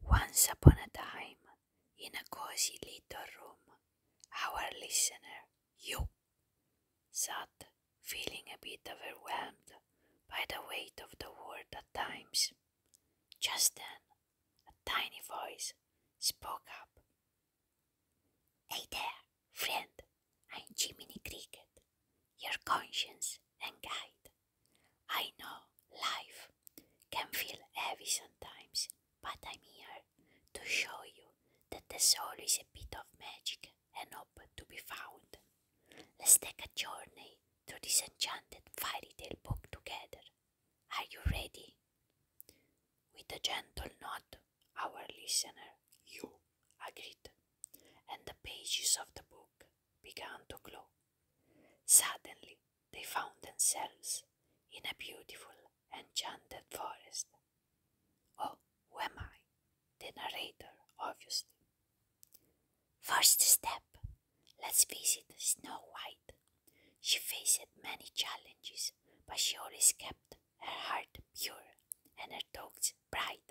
Once upon a time, in a cozy little room, our listener, you, sat feeling a bit overwhelmed by the weight of the world at times. Just then, a tiny voice spoke up. Hey there, friend, I'm Jiminy Cricket, your conscience and guide. I know life can feel heavy sometimes, but I'm here to show you that the soul is a bit of magic and hope to be found. Let's take a journey through this enchanted fairy tale book together. Are you ready? With a gentle nod, our listener, you agreed, and the pages of the book began to glow. Suddenly, they found themselves in a beautiful, enchanted forest. Oh, who am I? The narrator, obviously. First step let's visit Snow White. She faced many challenges, but she always kept her heart pure and her thoughts bright.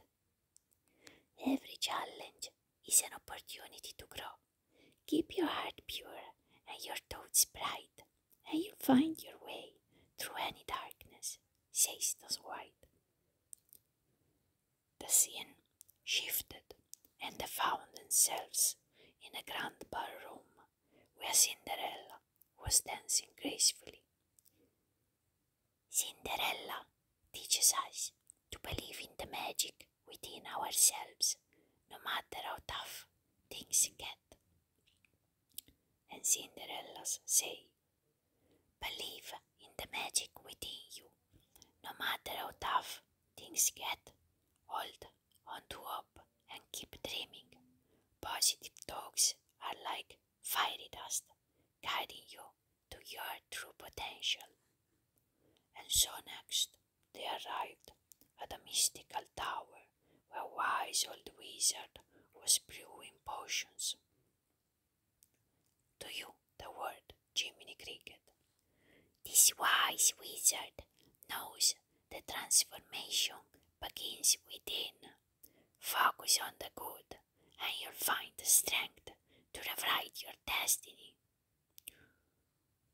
Every challenge is an opportunity to grow. Keep your heart pure and your thoughts bright, and you'll find your way through any darkness, says the white. The scene shifted, and they found themselves in a grand ballroom where Cinderella Cinderella was dancing gracefully. Cinderella teaches us to believe in the magic within ourselves, no matter how tough things get. And Cinderellas say, Believe in the magic within you, no matter how tough things get, hold on to hope and keep dreaming. Positive talks are like fiery dust, guiding you to your true potential. And so next they arrived at a mystical tower where a wise old wizard was brewing potions. To you, the word Jiminy Cricket. This wise wizard knows the transformation begins within. Focus on the good, and you'll find the strength to rewrite your destiny.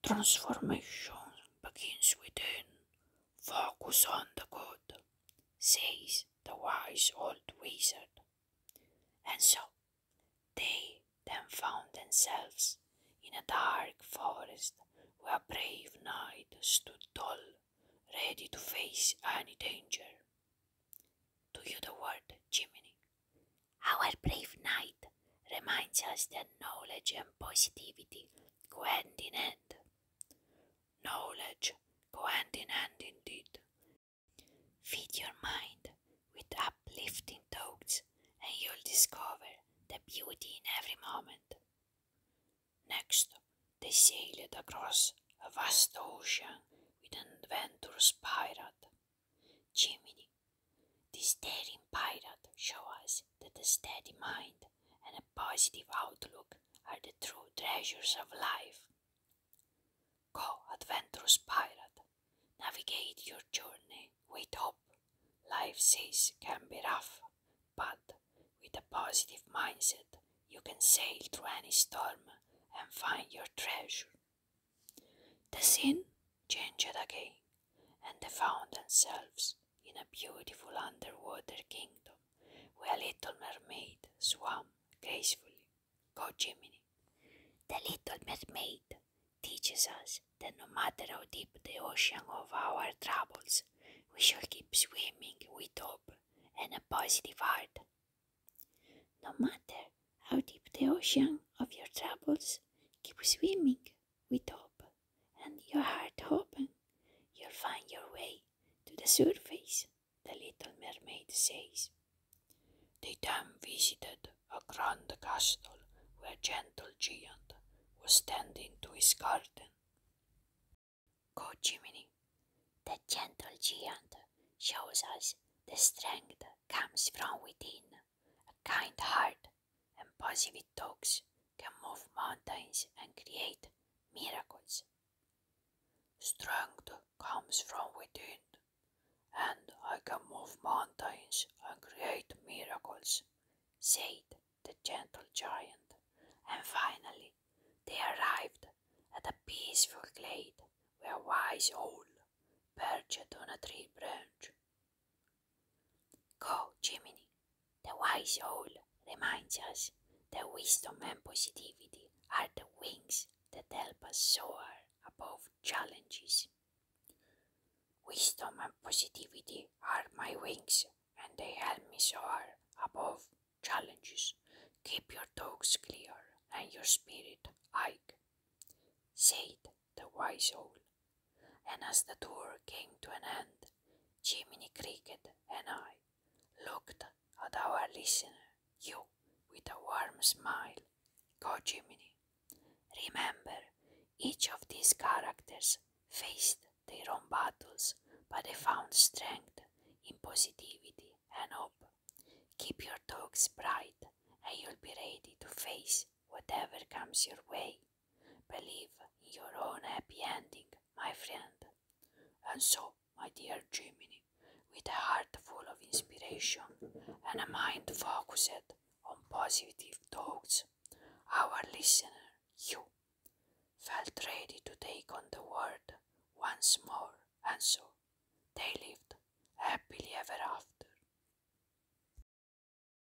Transformation begins within. Focus on the good, says the wise old wizard. And so they then found themselves in a dark forest where a brave knight stood tall, ready to face any danger. To you the word, chimney, Our brave knight reminds us that knowledge and positivity go hand in hand. Knowledge go hand in hand indeed. Feed your mind with uplifting thoughts, and you'll discover the beauty in every moment. Next, they sailed across a vast ocean with an adventurous pirate. Jiminy, this daring pirate showed us that a steady mind and a positive outlook are the true treasures of life. Go, adventurous pirate, Navigate your journey with hope. Life's seas can be rough, but with a positive mindset, you can sail through any storm and find your treasure. The scene changed again, and they found themselves in a beautiful underwater kingdom where a little mermaid swam gracefully Go, Jiminy. The little mermaid teaches us that no matter how deep the ocean of our troubles, we shall keep swimming with hope and a positive heart. No matter how deep the ocean of your troubles, keep swimming with hope and your heart open, you'll find your way to the surface the little mermaid says. They then visited a grand castle where a gentle giant was tending to his garden. Go, Jiminy! The gentle giant shows us the strength comes from within. A kind heart and positive talks can move mountains and create miracles. Strength comes from within, and I can move mountains and create miracles, said the gentle giant. And finally, they arrived at a peaceful glade where a wise owl perched on a tree branch. Go, Jiminy, the wise owl reminds us the wisdom and positivity are the wings that help us soar above challenges. Wisdom and positivity are my wings and they help me soar above challenges. Keep your talks clear and your spirit high, said the wise owl. And as the tour came to an end, Jiminy Cricket and I looked at our listener, you, with a warm smile. Go, Jiminy. Remember, each of these characters faced their own battles, but they found strength in positivity and hope. Keep your dogs bright, and you'll be ready to face whatever comes your way. Believe in your own happy ending, my friend. And so, my dear Jiminy, with a heart full of inspiration and a mind focused on positive thoughts, our listener, you, felt ready to take on the world once more, and so they lived happily ever after.